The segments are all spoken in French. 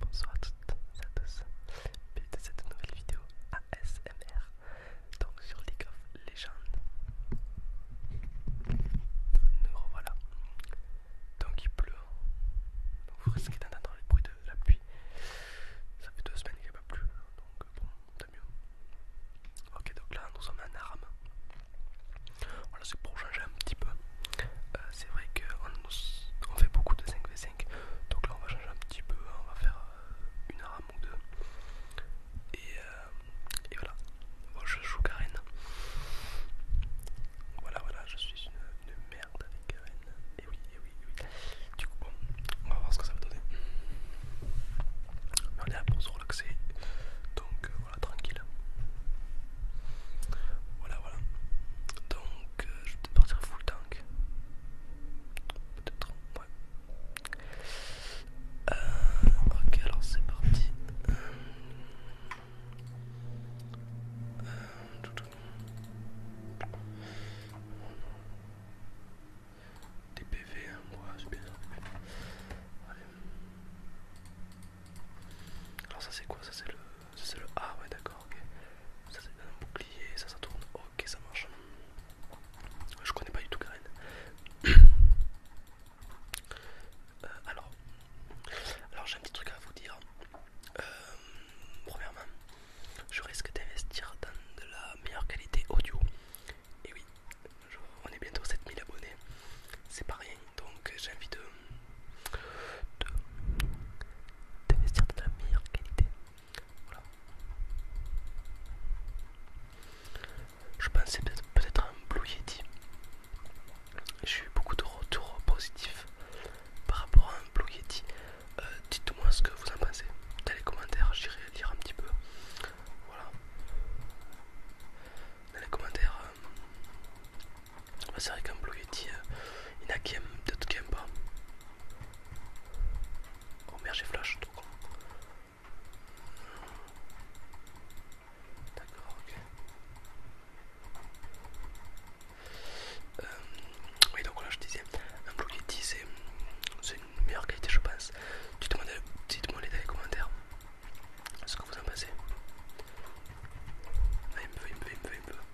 Bonsoir à toutes et à tous, bienvenue dans cette nouvelle vidéo ASMR, donc sur League of Legends. Nous revoilà, donc il pleut, donc vous risquez d'entendre le bruit de la pluie, ça fait deux semaines qu'il n'y a pas plu, donc bon, tant mieux. Ok, donc là nous sommes en arame, voilà, c'est pour changer un petit peu. Euh, c'est vrai qu'on on fait beaucoup de 5v5, donc là on va changer un petit peu, hein. on va faire euh, une arame ou deux. Et, euh, et voilà, je joue Karen. Voilà, voilà, je suis une, merde avec Karen. Et oui, et oui, et oui. Du coup, bon, on va voir ce que ça va donner. on est là pour se relaxer, donc voilà, tranquille. Voilà, voilà. Donc, euh, je vais partir full tank. Peut-être, ouais. Euh, ok, alors c'est parti. Euh, Des PV, hein, moi bien Allez. Alors ça c'est quoi Ça c'est le... le A, ouais d'accord, ok. Ça c'est un bouclier, ça ça tourne, ok ça marche. Je connais pas du tout Karen. Euh, alors, alors j'ai un petit truc à vous dire. Euh, premièrement, je risque d'investir dans de la meilleure qualité audio. Et oui, on est bientôt 7000 abonnés, c'est pas rien. Donc j'ai envie de de, de la meilleure qualité. Voilà. Je pensais peut-être peut à un Blue Yeti. J'ai eu beaucoup de retours positifs par rapport à un Blue Yeti. Euh, dites-moi ce que vous en pensez dans les commentaires, j'irai lire un petit peu. Voilà. Dans les commentaires, euh, bah, c'est vrai euh, qu'un Blogetti, il y en a qui aiment, d'autres qui pas. Oh merde, j'ai flash, tout con. D'accord, ok. Euh, oui, donc là je disais, un Blogetti c'est une meilleure qualité, je pense. Dites-moi dans les commentaires ce que vous en pensez. Ah, il me veut, il me veut, il me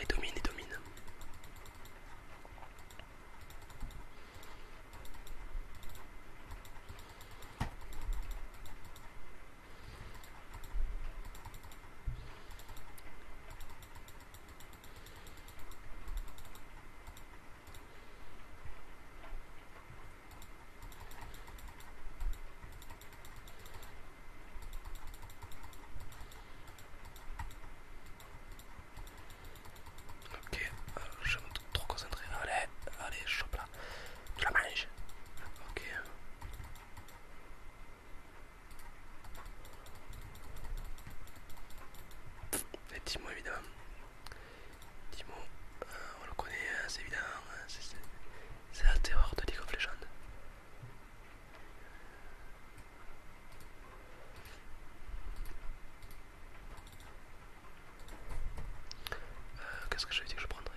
Et domine, et domine. Ok, euh, je me suis trop concentré. Allez, allez, chope là. je la mange, Ok. Et Timo évidemment. Timo, moi euh, on le connaît, hein, c'est évident. Hein, c'est la terreur de League of Legends. Qu'est-ce que je vais dire que je prendrai.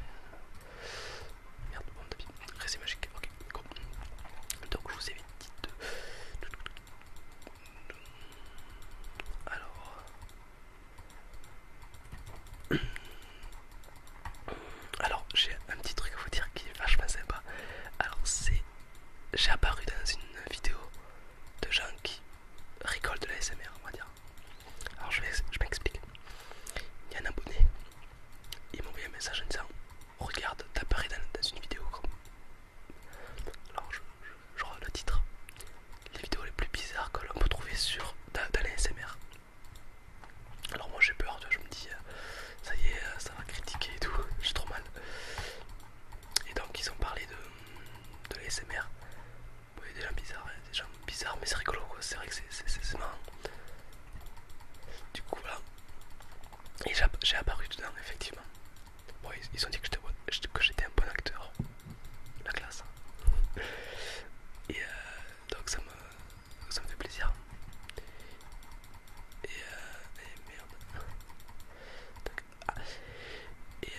Merde, bon, de Récit magique, ok, Donc, je vous ai dit de. Alors. Alors j'ai un petit truc à vous dire qui est vachement sympa. Alors c'est j'ai apparu dans une vidéo de gens qui rigolent de la SMR on va dire. Alors je, je m'explique. Il y a un abonné, il m'a envoyé un message en disant Regarde, t'apparais dans, une vidéo Alors je, je, le titre. Les vidéos les plus bizarres que l'on peut trouver sur dans, dans alors moi j'ai peur, je me dis euh, ça y est, euh, ça va critiquer et tout, j'ai trop mal. Et donc ils ont parlé de, de l'ASMR. des gens bizarres, hein, bizarres, mais c'est rigolo c'est vrai que c'est marrant. Du coup voilà. Et j'ai apparu dedans effectivement. Bon ils, ont dit que j'étais un bon acteur. La classe. Et euh, donc ça me, ça me fait plaisir. Et, euh, et merde. Donc, ah. et euh,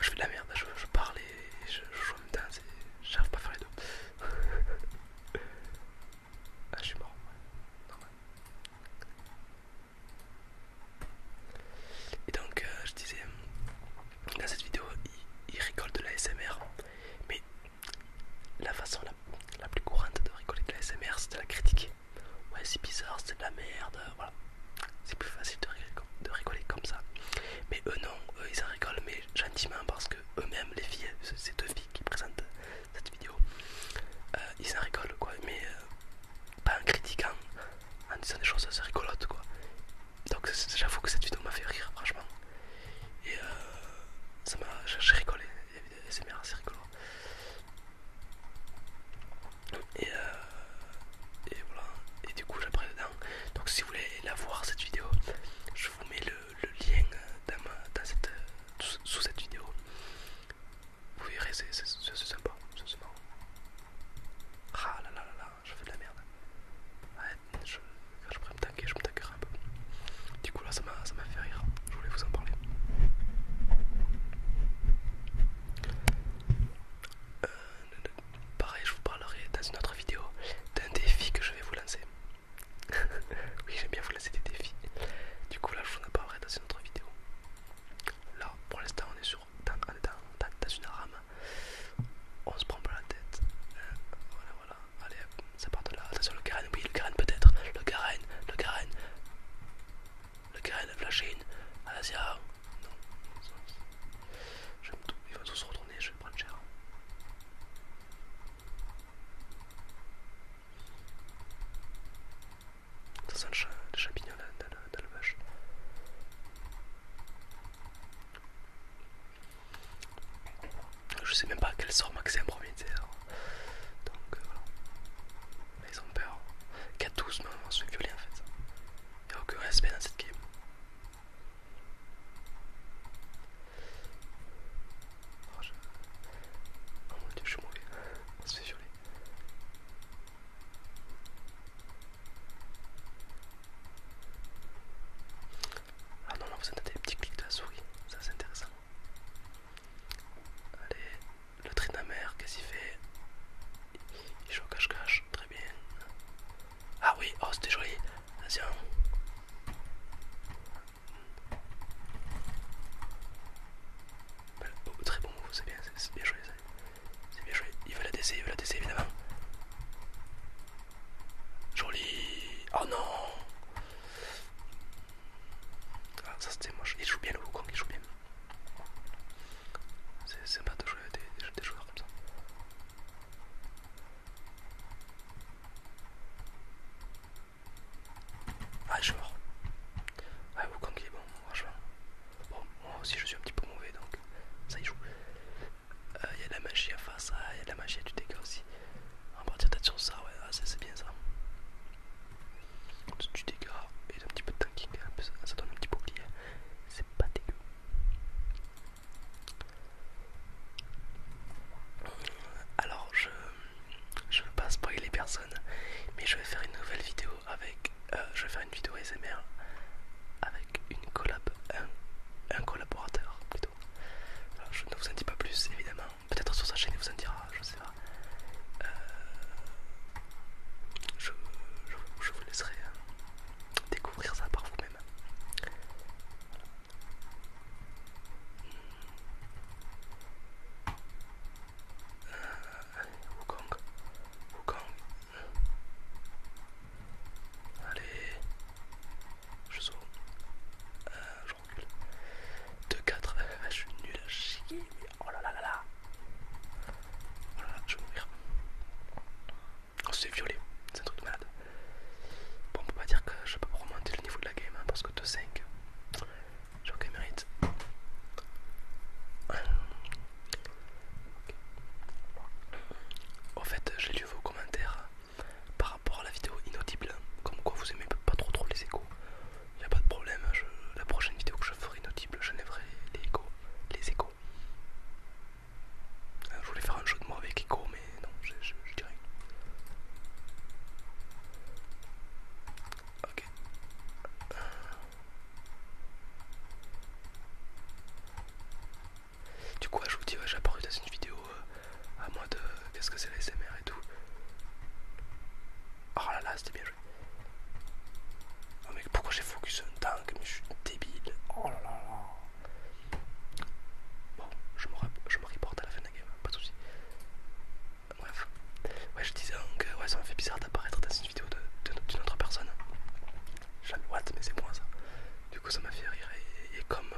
je fais de la merde, je, parle et je, joue en même temps, j'arrive pas à faire les deux. ah, je suis mort, Et donc, euh, je disais, dans cette vidéo ils rigolent de la SMR mais la façon la, plus courante de rigoler de la SMR c'est de la critiquer ouais c'est bizarre c'est de la merde voilà c'est plus facile de rigoler, comme ça mais eux non eux ils en rigolent mais gentiment parce que eux-mêmes les filles ces deux filles qui présentent cette vidéo euh, ils en rigolent quoi mais euh, pas en critiquant en disant des choses assez rigolotes quoi donc j'avoue que cette vidéo m'a fait rire franchement et euh, ça m'a j'ai rigolé c'est bien c'est rigolo et, euh, et voilà et du coup j'apprends dedans donc si vous voulez la voir cette vidéo je vous mets le, lien dans, cette, sous, cette vidéo vous verrez c'est sympa c'est sympa ah là là là là je fais de la merde. je, quand je pourrais me tanker, je me tankerai un peu. Du coup là ça m'a fait rire, je voulais vous en parler. Euh, pareil, je vous parlerai dans une autre vidéo d'un défi que je vais vous lancer. oui, j'aime bien vous lancer des défis. Du coup, là, je vous en parlerai dans une autre vidéo. Là, pour l'instant, on est sur dans, une rame on se prend pas la tête. Euh, voilà, voilà, allez, ça part de là. Attention, le carène. oui, le carène peut-être. Le carène, le carène, le carène. la Chine, Alasia. Non, j'aime tout. Ils vont tous se retourner, je vais prendre cher. Ça sent le, cha le champignon vache. Je sais même pas à quel sort maxer un premier tiers. Donc euh, voilà. ils ont peur. 4-12 non, on se fait en fait. Il n'y a aucun respect dans cette game. Oh, oh mon dieu, je suis mauvais. On se fait violer. Ah non, non, vous entendez les petits clics de la souris, ça c'est intéressant. Allez, le trinamère, qu'est-ce qu'il fait Il joue au cache-cache, très bien. Ah oui, oh c'était joli, attention. Bah, oh, très bon move, c'est bien, c'est bien joué, c'est bien joué. Il veut la DC, il veut la DC évidemment. Joli. Oh non. Ah, ça c'était moche. Il joue bien le Wukong, il joue bien. C'est sympa de jouer avec des, joueurs comme ça. Ah, il joue mort. Ah, Wukong il est bon, franchement. Bon, moi aussi je suis un petit peu mauvais donc ça y joue. Il euh, y a de la magie à face, il y a de la magie du dégât aussi. On va partir peut-être sur ça, ouais, ah, ça c'est bien ça. Du dégât et un petit peu de tanking, ça, donne un petit bouclier, c'est pas dégueu. Alors je je veux pas spoiler personnes mais je vais faire une nouvelle vidéo avec, euh, je vais faire une vidéo SMR avec une collab, un, collaborateur euh, je ne vous en dis pas plus évidemment. Peut-être sur sa chaîne il vous en dira, je ne sais pas. Euh, je, vous laisserai hein, découvrir ça par vous-même. Euh, Wukong, Allez, je saute. je recule. 2-4. Ah, je suis nul à chier. Oh là là là là. je vais mourir. Oh, c'est violé, C'est un truc de malade. Bon, on peut pas dire que je peux pas remonter le niveau de la game hein, parce que 2-5. J'ai aucun mérite. Au fait, j'ai lu vos commentaires par rapport à la vidéo inaudible, comme quoi vous aimez pas trop trop les échos, il n'y a pas de problème, hein, la prochaine vidéo que je ferai inaudible, j'enlèverai les échos, les échos. Euh, je voulais faire un jeu de mots avec écho, mais non, je, je dirais. Ok. Euh. Du coup, je vous dis, j'ai apparu dans une vidéo euh, à moi de. Qu'est-ce que c'est la SMR et tout. Oh là là, c'était bien joué. Oh mec, pourquoi j'ai focus un tank Mais je suis débile. Oh là là là. Bon, je me, reporte à la fin de la game, hein, pas de soucis. Bref. Ouais, je disais donc, euh, ouais, ça m'a fait bizarre d'apparaître dans une vidéo d'une autre personne. Jeanne mais c'est moins ça. Du coup, ça m'a fait rire. Et, comme euh,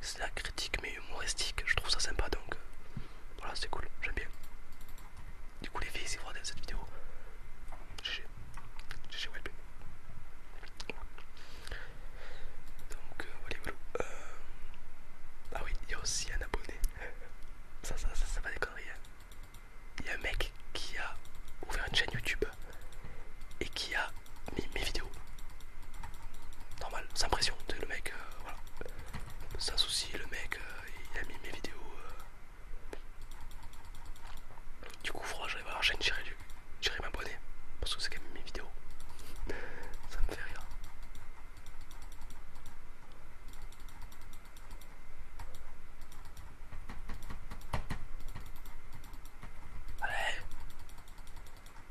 c'est la critique, mais humoristique, je trouve ça sympa donc euh, voilà, c'est cool, j'aime bien. Du coup, les filles, si vous regardez cette vidéo, GG, GG web. Donc, euh, voilà, voilà. Euh, ah oui, il y a aussi un abonné. Ça, ça, ça, ça va déconner. Hein. Il y a un mec qui a ouvert une chaîne YouTube et qui a mis mes vidéos. Normal, sans pression. Le mec, euh, voilà, sans souci, le mec euh, il a mis mes vidéos. Euh. Du coup, franchement, la chaîne, j'irai m'abonner parce que c'est a mis mes vidéos. Ça me fait rire. Allez,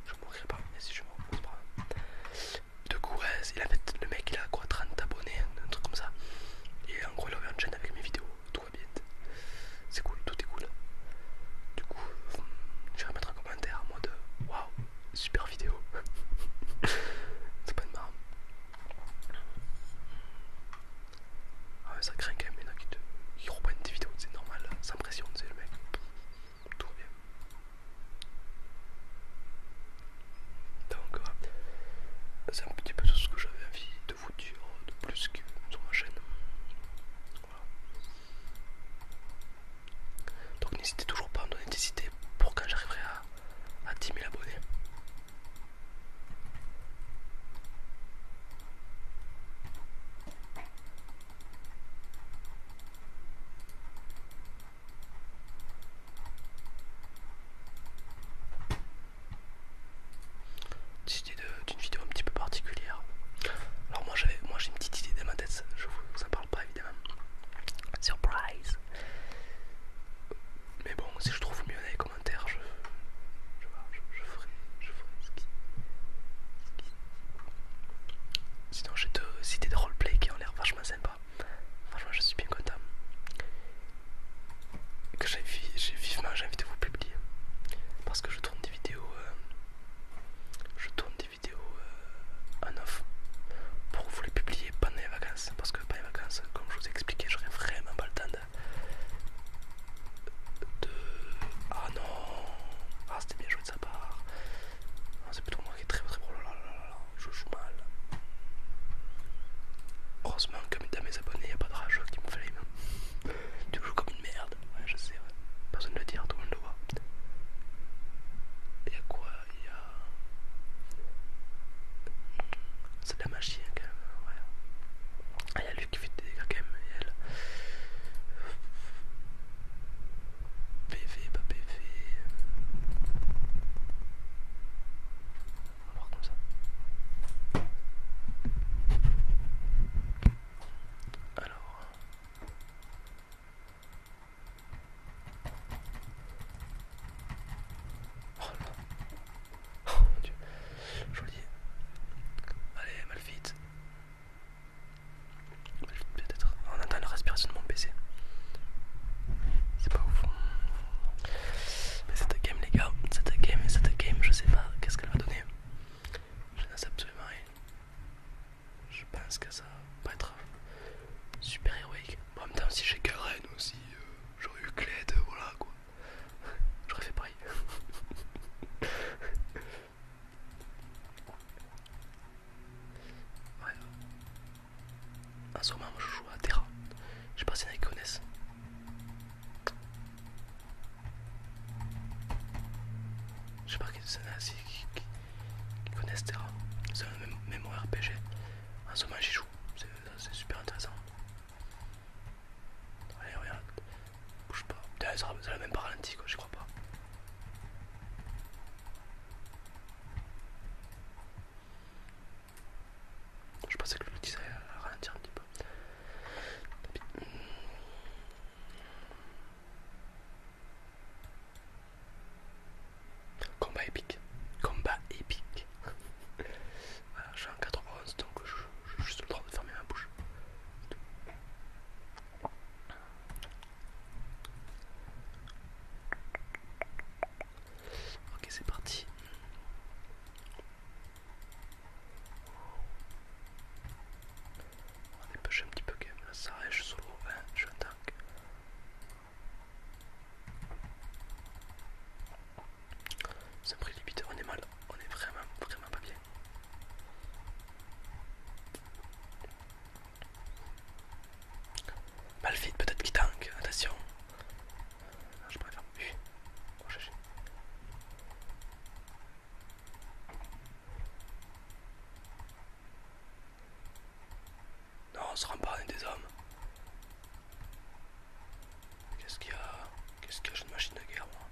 je mourrai pas, mais si je m'en c'est pas grave. Du coup, le mec il a quoi 30 abonnés, un truc comme ça. Et en gros, il ouvert une chaîne avec mes vidéos, tout va bien. C'est cool, tout est cool. Du coup, je vais mettre un commentaire en mode waouh, super vidéo. c'est pas de marre. Ah mais ça craint quand même, il y reprennent vidéos, c'est normal, sans pression, c'est le mec. Tout va bien. Donc, c'est un petit peu tout ce que j'avais envie de vous dire de plus sur ma chaîne. Donc, n'hésitez toujours pas à me donner des idées pour quand j'arriverai à 10 000 abonnés une idée d'une vidéo un petit peu particulière. Alors moi j'ai moi une petite idée dans ma tête, je vous en parle pas évidemment. Surprise! Mais bon, si je trouve mieux dans les commentaires, je, je, vois, je, ferai, je ferai ce qui. Sinon, j'ai deux idées de roleplay qui ont l'air vachement sympa. Franchement, je suis bien content. Que j'ai vivement, j'ai envie de vous publier. Parce que je tourne des vidéos. Euh, je tourne des vidéos euh, en off pour vous les publier pendant les vacances. Parce que pendant les vacances, comme je vous ai expliqué, j'aurai vraiment pas le temps de... Ah non Ah c'était bien joué de sa part. Ah, c'est plutôt moi qui est très très pro. Oh je joue mal. Heureusement comme une mes abonnés, y a pas de rageux qui me flame. tu joues comme une merde. Ouais je sais, ouais. Personne ne le dire, tout le monde le voit. a quoi Y a. C'est de la machine quand même, ouais. Ah, elle qui fait des dégâts quand même. elle. PV, pas PV. On va voir comme ça. Alors. Oh là. Oh mon dieu. Joli. Allez, Malphite. Peut-être. On entend la respiration de mon PC. C'est pas ouf. Mais ta game, les gars, c'est ta game, c'est cette game, je sais pas qu'est-ce qu'elle va donner. Je n'en sais absolument rien. Je pense que ça va être super héroïque. Bon, en même temps, si j'ai Karen aussi, euh, j'aurais eu Cled, voilà quoi. J'aurais fait pareil. En ce moment, moi je joue à Terra. Je sais pas s'il y en a qui connaissent. Je sais pas s'il y en a qui, connaissent Terra. C'est un mémoire RPG. En ce moment, j'y joue. C'est super intéressant. Allez, regarde. Bouge pas. ça l'a même pas ralenti, quoi, je crois pas. Je pensais que le petit ça ralentir un petit peu. Combat épique. Combat épique. voilà, je suis en 91 donc je j'ai juste le droit de fermer ma bouche. Ok, c'est parti. On va dépêcher un petit peu quand même, là ça rêche hein, je suis un tank. un prix limite, on est mal, on est vraiment, vraiment pas bien. Malfite peut-être qui tanque, attention. Non, ah, je préfère Non, on se rend pas, à des hommes. Qu'est-ce qu'il y a Qu'est-ce qu'il y a suis une machine de guerre, moi.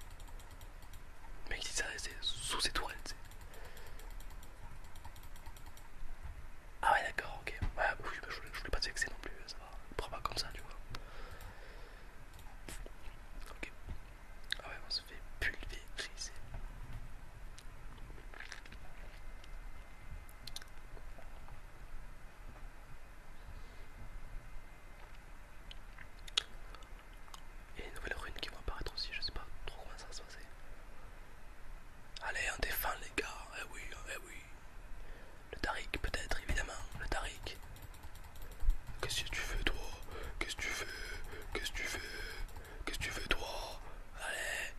Mais il ça restait sous ses tourelles, Ah ouais, d'accord, ok. Ouais, je, voulais pas te vexer non plus, ça va. Prends pas comme ça, tu vois. Ok. Ah ouais, on se fait pulvériser. Et une nouvelle rune qui va apparaître aussi, je sais pas trop comment ça va se passer. Allez, on défend les gars, eh oui, hein, eh oui. Le Tarik peut-être, évidemment, le Tarik. Qu'est-ce que tu fais toi Qu'est-ce que tu fais Qu'est-ce que tu fais Qu'est-ce que tu fais toi Allez,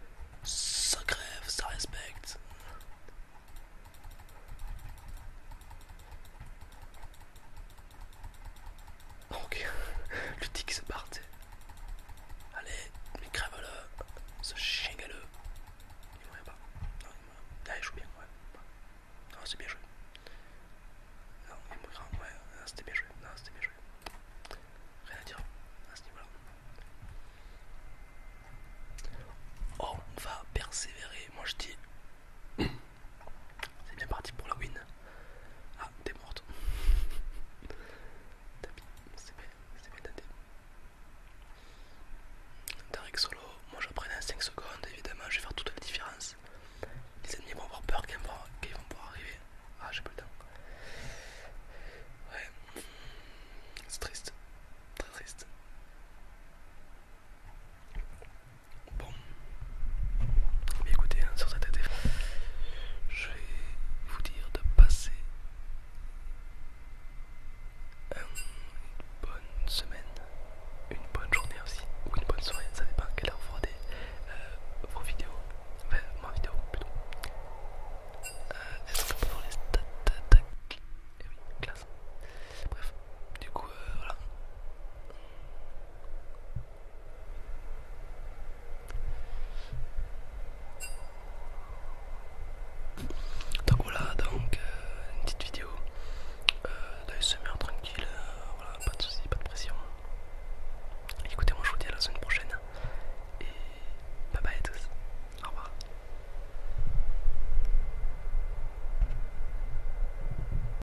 ça crève, ça respecte. Ok, le tick se parte. Allez, mais crève-le, ce chien galeux. Il mourait pas. Non, il mourait. Ah, il joue bien, ouais. Non, c'est bien joué. Non, il mourra, ouais, c'était bien joué. Non, c'était bien joué. Rien à dire à ce niveau-là. Oh, on va persévérer. Moi je dis. C'est bien parti pour la win. Ah, t'es morte. Tapis, c'est bien, c'est bien tenté. Tarik solo, moi je prenais en 5 secondes, évidemment, je vais faire toute la différence. Les ennemis vont avoir peur qu'ils vont, vont pouvoir arriver. Ah, j'ai pas le temps. Ouais, c'est triste, très triste. Bon, mais écoutez, hein, sur cette été, je vais vous dire de passer une bonne semaine, une bonne journée aussi, ou une bonne soirée, ça dépend à quelle heure vous regardez euh, vos vidéos, enfin ma vidéo plutôt. Euh, est-ce qu'on peut pour les stats, et eh oui, classe. Bref, du coup, euh, voilà. Donc voilà, donc euh, une petite vidéo euh, tranquille, euh, voilà, pas de soucis, pas de pression. Écoutez, moi je vous dis à la semaine prochaine et bye bye à tous, au revoir.